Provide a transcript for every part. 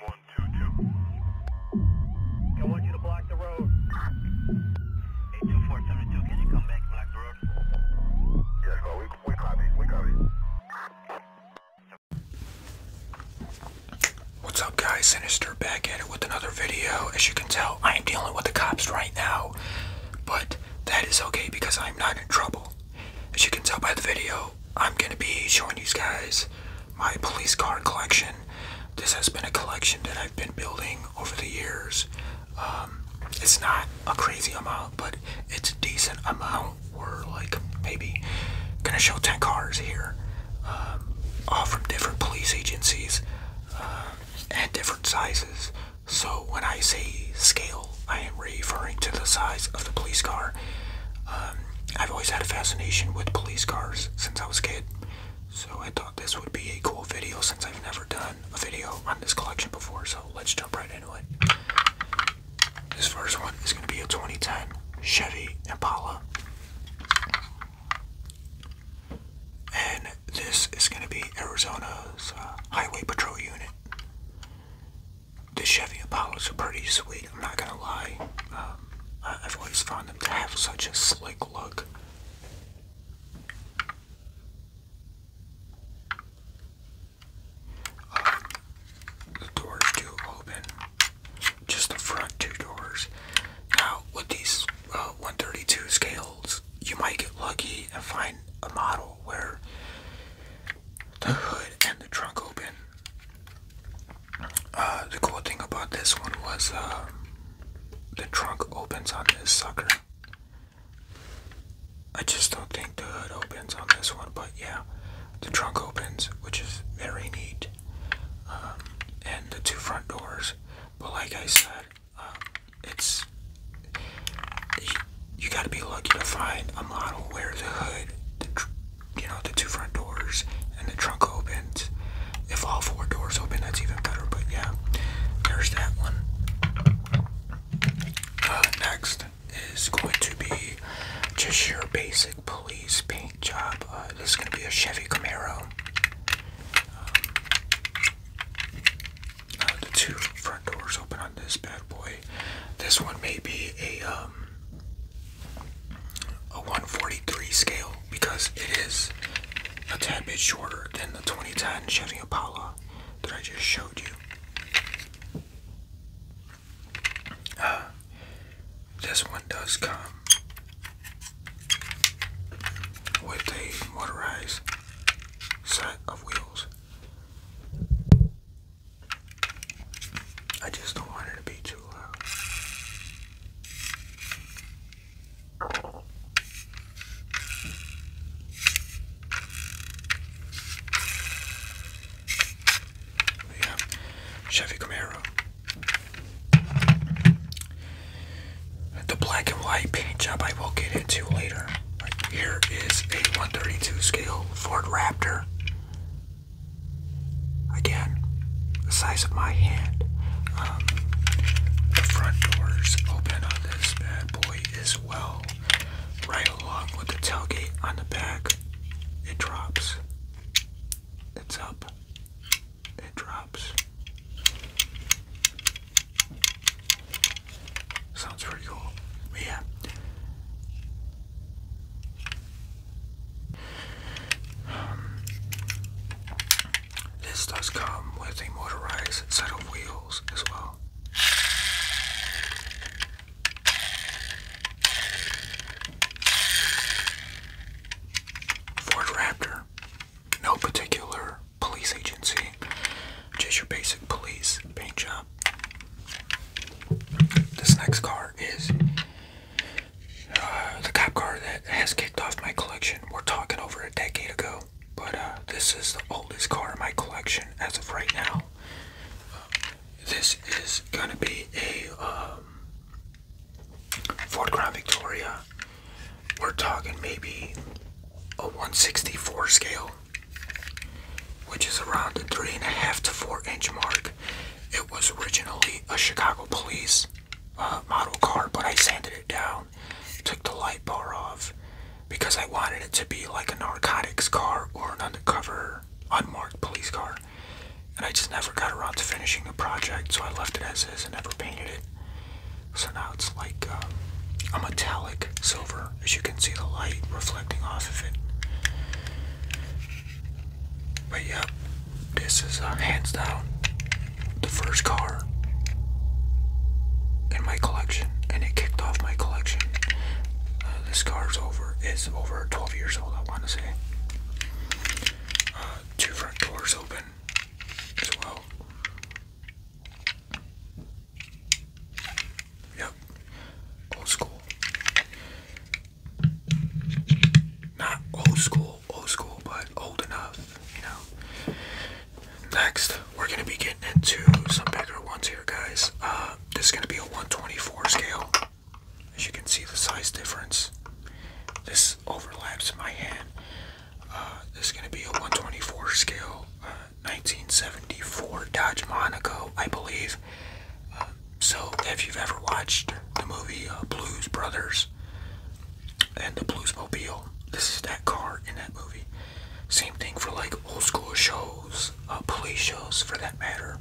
One, two, two. I want you to block the road. 82472, can you come back block the road? Yes, well, we, we copy, we copy. What's up guys, Sinister back at it with another video. As you can tell, I am dealing with the cops right now, but that is okay because I'm not in trouble. As you can tell by the video, I'm going to be showing you guys my police car collection. This has been a collection that I've been building over the years. Um, it's not a crazy amount, but it's a decent amount. We're like maybe going to show 10 cars here, um, all from different police agencies uh, and different sizes. So, when I say scale, I am referring to the size of the police car. Um, um, I've always had a fascination with police cars since I was a kid, so I thought this would be a cool video since I've never done a video on this collection before, so let's jump right into it. This first one is going to be a 2010 Chevy Impala. And this is going to be Arizona's uh, Highway Patrol Unit the Chevy Apollos are pretty sweet. I'm not gonna lie. Um, I've always found them to have such a slick look. Um, the doors do open, just the front two doors. Now with these uh, scales, you might get lucky and find a model where the hood and the trunk open. Uh, the cool thing about this one was uh, the trunk opens on this sucker. I just don't think the hood opens on this one, but yeah, the trunk opens, which is very neat. Um, and the two front doors, but like I said, um, it's you, gotta be lucky to find a model where the hood, you know, the two front doors and the trunk opens. If all four doors open, that's even better. But yeah, there's that one. Uh, next is going to be just your basic police paint job. Uh, this is going to be a Chevy Camaro. Um, uh, the two front doors open on this bad boy. This one may be a um, a 143 scale because it is a tad bit shorter than the 2010 Chevy Impala that I just showed you. Uh, this one does come with a motorized set of wheels. I just don't want it to be too loud. Yeah, Chevy Camaro. The black and white paint job I will get into later. Here is a 132 scale Ford Raptor Again, the size of my hand. Um, the front doors open on this bad boy as well. Right along with the tailgate on the back, it drops. It's up. It drops. Sounds pretty cool. yeah. Um, this does come with a motorized set of wheels as well. Ford Raptor, no particular police agency, just your basic police paint job. This next car is uh, the cop car that has kicked off my collection. We're talking over a decade ago, but uh, this is the oldest car in my collection as of right now. Uh, this is gonna be a um, Ford Crown Victoria. We're talking maybe a 164 scale, which is around a three and a half to four inch mark. It was originally a Chicago Police uh, model car, but I sanded it down, took the light bar off, because I wanted it to be like a narcotics car or an undercover, unmarked police car. And I just never got around to finishing the project, so I left it as is and never painted it. So now it's like um, a metallic silver, as you can see the light reflecting off of it. But yep, this is uh, hands down the first car in my collection, and it kicked off my collection. Uh, this car's over is over 12 years old, I want to say. Uh, two front doors open as well. Yep, old school. Not old school, old school, but old enough, you know. Next, we're gonna be getting into some bigger ones here, guys. Uh, this is gonna be a 124 scale. As you can see, the size difference. This overlaps my hand. Uh, this is gonna be a 124 scale, 1974 uh, Dodge Monaco, I believe so, if you've ever watched the movie uh, Blues Brothers and the Bluesmobile, this is that car in that movie. Same thing for like old school shows, uh, police shows for that matter,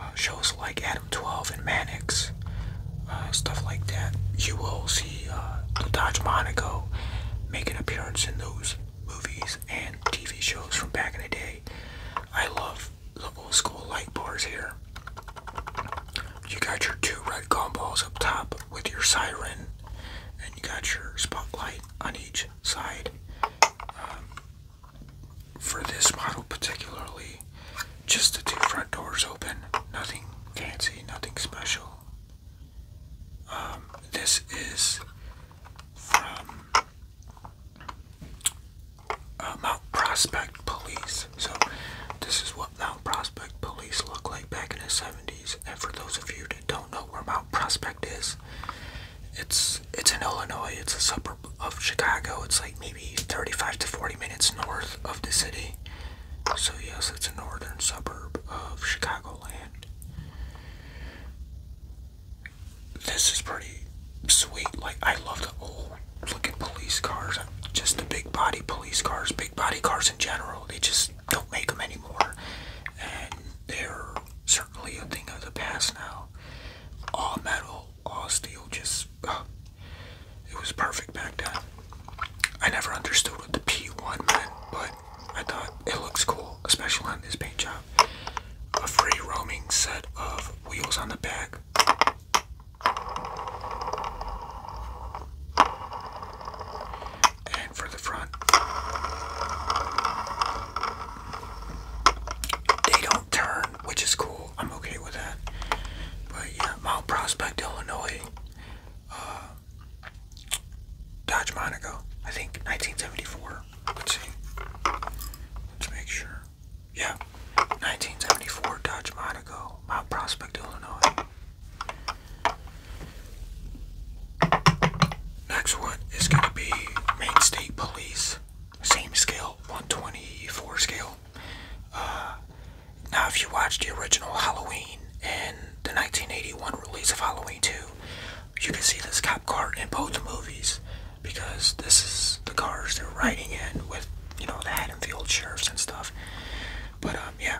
uh, shows like Adam 12 and Mannix, stuff like that. You will see the Dodge Monaco make an appearance in those movies and TV shows from back in the day. I love the old school light bars here. You got your two red gumballs up top with your siren, and you got your spotlight on each side. Um, for this model particularly, just the two front doors open, nothing fancy, nothing special. Um, this is from uh, Mount Prospect Police. So this is what Mount Prospect Police look like back in the 70s. And for those of you that don't know where Mount Prospect is, it's it's in Illinois. It's a suburb of Chicago. It's like maybe 35 to 40 minutes north of the city. So yes, it's a northern suburb of Chicagoland this is pretty sweet. Like, I love the old looking police cars. Just the big body police cars, big body cars in general. They just don't make them anymore. And they're certainly a thing of the past now. All metal, all steel, just. it was perfect back then. I never understood what the P1 meant, but I thought it looks cool, especially on this paint job. A free roaming set of wheels on the back. And for the front, they don't turn, which is cool. I'm okay with that. But yeah, Mount Prospect, Illinois, uh, Dodge Monaco, I think 1974. Let's see. Let's make sure. Yeah. 1974 Dodge Monaco, Mount Prospect, Illinois. Next one is going to be Maine State Police. Same scale, 124 scale. Uh, now, if you watch the original Halloween and the 1981 release of Halloween 2, you can see this cop car in both movies because this is the cars they're riding in with, you know, the Haddonfield sheriffs and stuff. But um, yeah,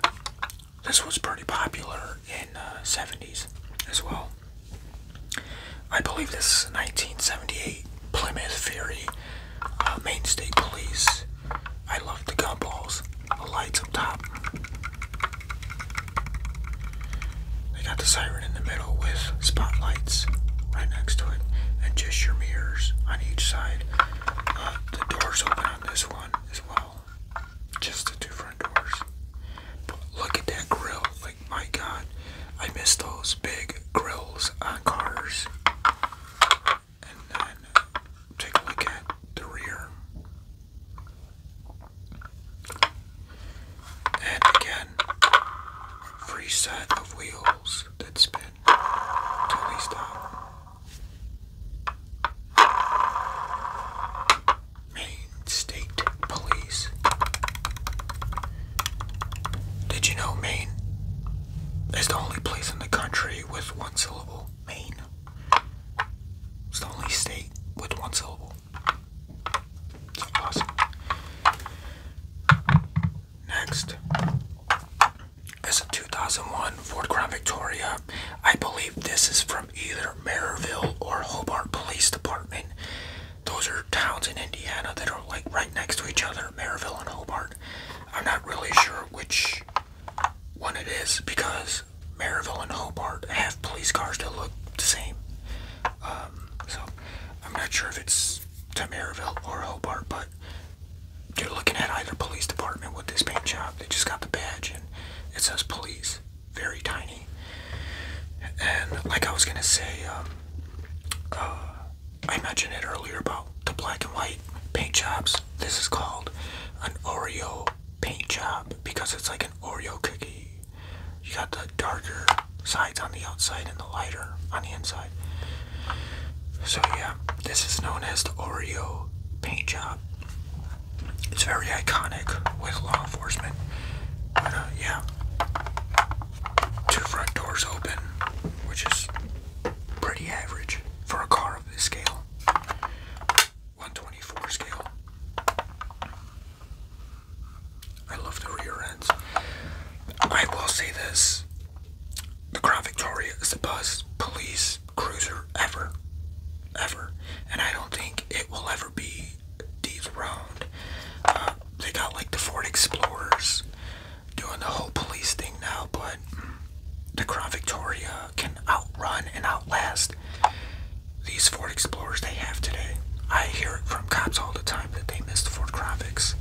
this was pretty popular in uh, 70s as well. I believe this is 1978 Plymouth Fury, uh, Main State Police. I love the gun balls, the lights up top. They got the siren in the middle with spotlights right next to it, and just your mirrors on each side. Uh, the doors open on this one as well, just the two front doors. But look at that grill! Like my God, I miss those big grills on cars. And then take a look at the rear and again, free set of wheels that spin till we stop. Maine State Police. Did you know Maine is the only place in the country with one syllable? Maine. It's the only state with one syllable. It's awesome. Next is a 2001 Ford Crown Victoria. I believe this is from either Meriville or Hobart Police Department. Those are towns in Indiana that are like right next to each other, Meriville and Hobart. I'm not really sure which one it is because Meriville and Hobart have police cars that look the same. Um, so I'm not sure if it's is to Maryville or Hobart, but you're looking at either police department with this paint job. They just got the badge and it says police, very tiny. And like I was gonna say, um, uh, I mentioned it earlier about the black and white paint jobs. This is called an Oreo paint job because it's like an Oreo cookie you got the darker sides on the outside and the lighter on the inside. So yeah, this is known as the Oreo paint job. It's very iconic with law enforcement. But uh, yeah, two front doors open, which is pretty average for a car of this scale. 124 scale. I love the rear ends. I will say this the Crown Victoria is the best police cruiser ever. Ever. And I don't think it will ever be dethroned. Uh, they got like the Ford Explorers doing the whole police thing now, but the Crown Victoria can outrun and outlast these Ford Explorers they have today. I hear it from cops all the time that they missed for graphics.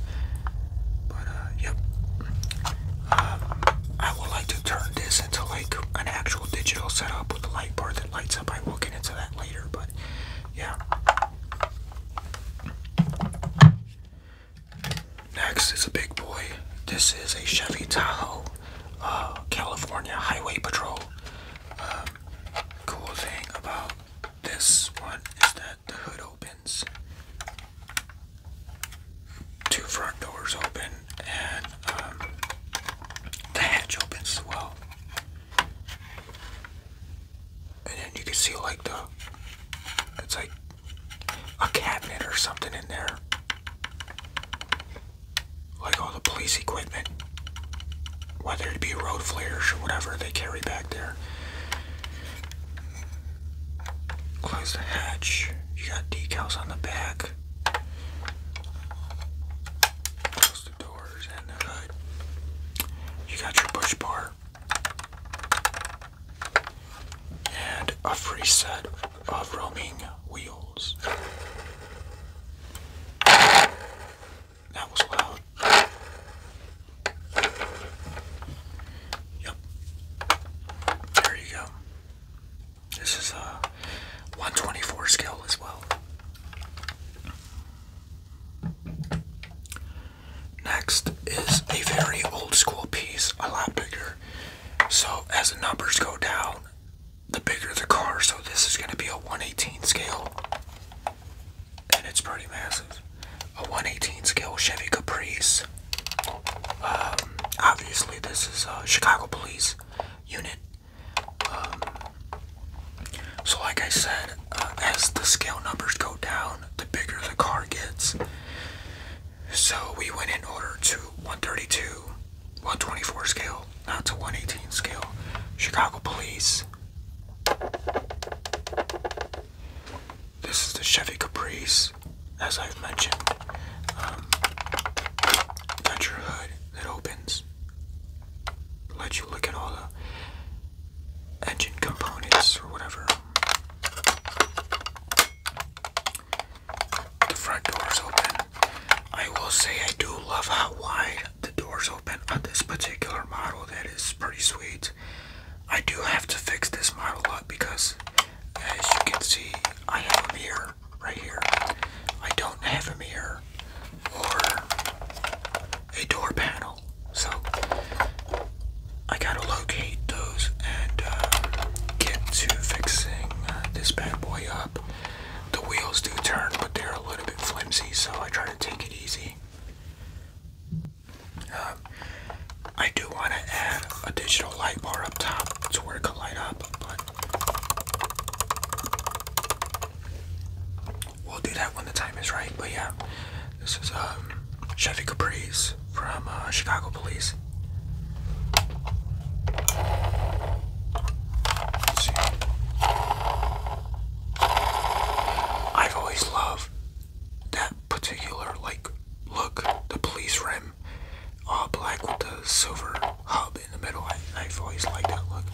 But, uh, yep. Uh, I would like to turn this into like an actual digital setup with a light bar that lights up. I will get into that later, but yeah. Next is a big boy. This is a Chevy Tahoe uh, California Highway Patrol. cool thing about this one is that the hood opens, two front doors open, and um, the hatch opens as well. And then you can see like the, it's like a cabinet or something in there. Like all the police equipment whether it be road flares or whatever they carry back there. Close the hatch. You got decals on the back. Close the doors and the hood. You got your push bar. And a free set of roaming wheels. That was wild. Yep. There you go. This is a 124 skill as well. Next is a very old school piece, a lot bigger. So as the numbers go down, the bigger the car. So this is going to be a 118 scale and it's pretty massive. A 118 scale Chevy Caprice. Um, obviously, this is a uh, Chicago Police unit. Um, so, like I said, uh, as the scale numbers go down, the bigger the car gets. So, we went in order to 132, 124 scale, not to 118 scale. Chicago Police, this is the Chevy Caprice, as I've mentioned. Um, hood that opens, let you look at all the engine components or whatever. The front door open. I will say I do love how wide the doors open on this particular model that is pretty sweet. I do have to fix this model up because as you can see I have a mirror right here. I don't have a mirror or a door panel. So I gotta locate those and uh, get to fixing uh, this bad boy up. The wheels do turn but they're a little bit flimsy so I try to take it easy. I do want to add a digital light bar up top to where it could light up, but we'll do that when the time is right. But yeah, this is a um, Chevy Caprice from uh, Chicago Police. I've always loved that particular like look, the police rim, all black with the silver hub in the middle. I, have always liked that look.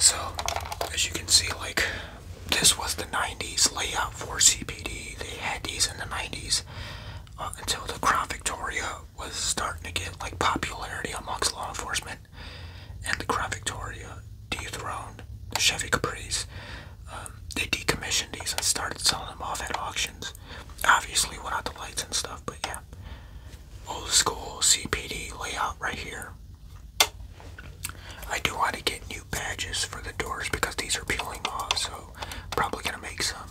So, as you can see, like this was the 90s layout for CPD. They had these in the 90s uh, until the Crown Victoria was starting to get like popularity amongst law enforcement and the Crown Victoria dethroned the Chevy Caprice. Um, they decommissioned these and started selling them off at auctions. Obviously, without the lights and stuff, but yeah. Old school CPD layout right here. I do want to get new badges for the doors because these are peeling off, so probably gonna make some.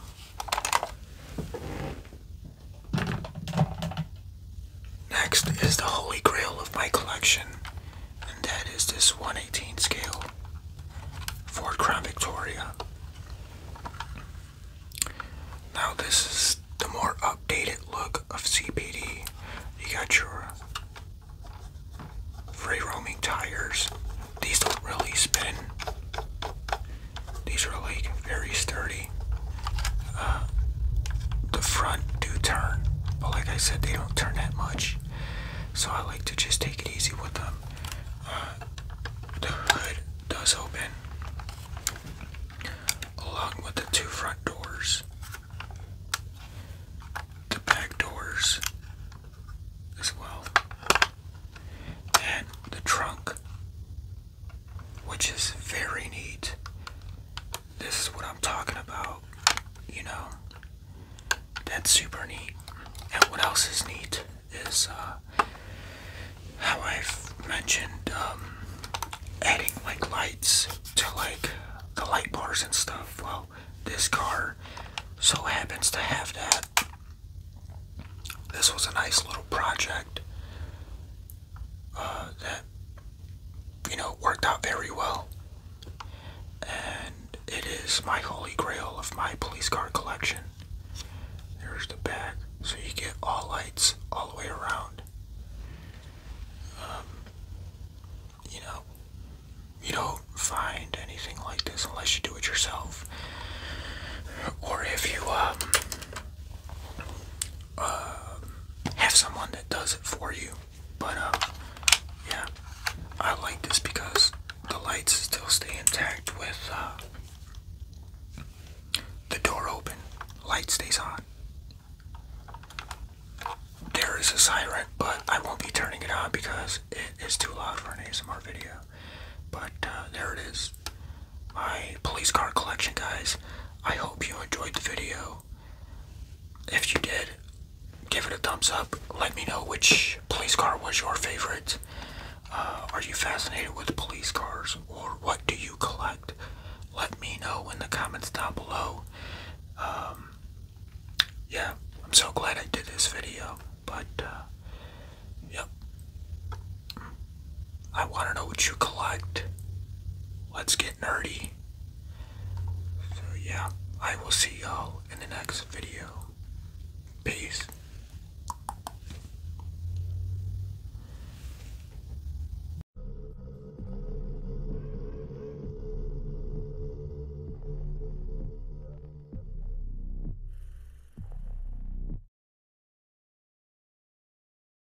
Next is the holy grail of my collection, and that is this 118 scale Ford Crown Victoria. Now this is the more updated look of CPD. You got your free roaming tires. These don't really spin. These are like very sturdy. Uh, the front do turn, but like I said, they don't turn that much. So I like to just take it easy with them. Uh, the hood does open along with the two front doors. The back doors as well. And the trunk, which is very neat. This is what I'm talking about, you know. That's super neat. And what else is neat is uh, how I've mentioned um, adding like lights to like the light bars and stuff. Well, this car so happens to have that. This was a nice little project uh, that you know worked out very well, and it is my holy grail of my police car collection. There's the back, so you get all lights all the way around. Um, you know, you don't find anything like this unless you do it yourself, or if you um, um, have someone that does it for you. But uh, yeah, I like this because the lights still stay intact with uh, the door open. Light stays on. There is a siren, but I won't be turning it on because it is too loud for an ASMR video. But uh, there it is. My police car collection, guys. I hope you enjoyed the video. If you did, give it a thumbs up. Let me know which police car was your favorite. Uh, are you fascinated with police cars or what do you collect? Let me know in the comments down below. Um, yeah, I'm so glad I did this video, but uh, yep. I want to know what you collect. Let's get nerdy. So, yeah, I will see y'all in the next video. Peace.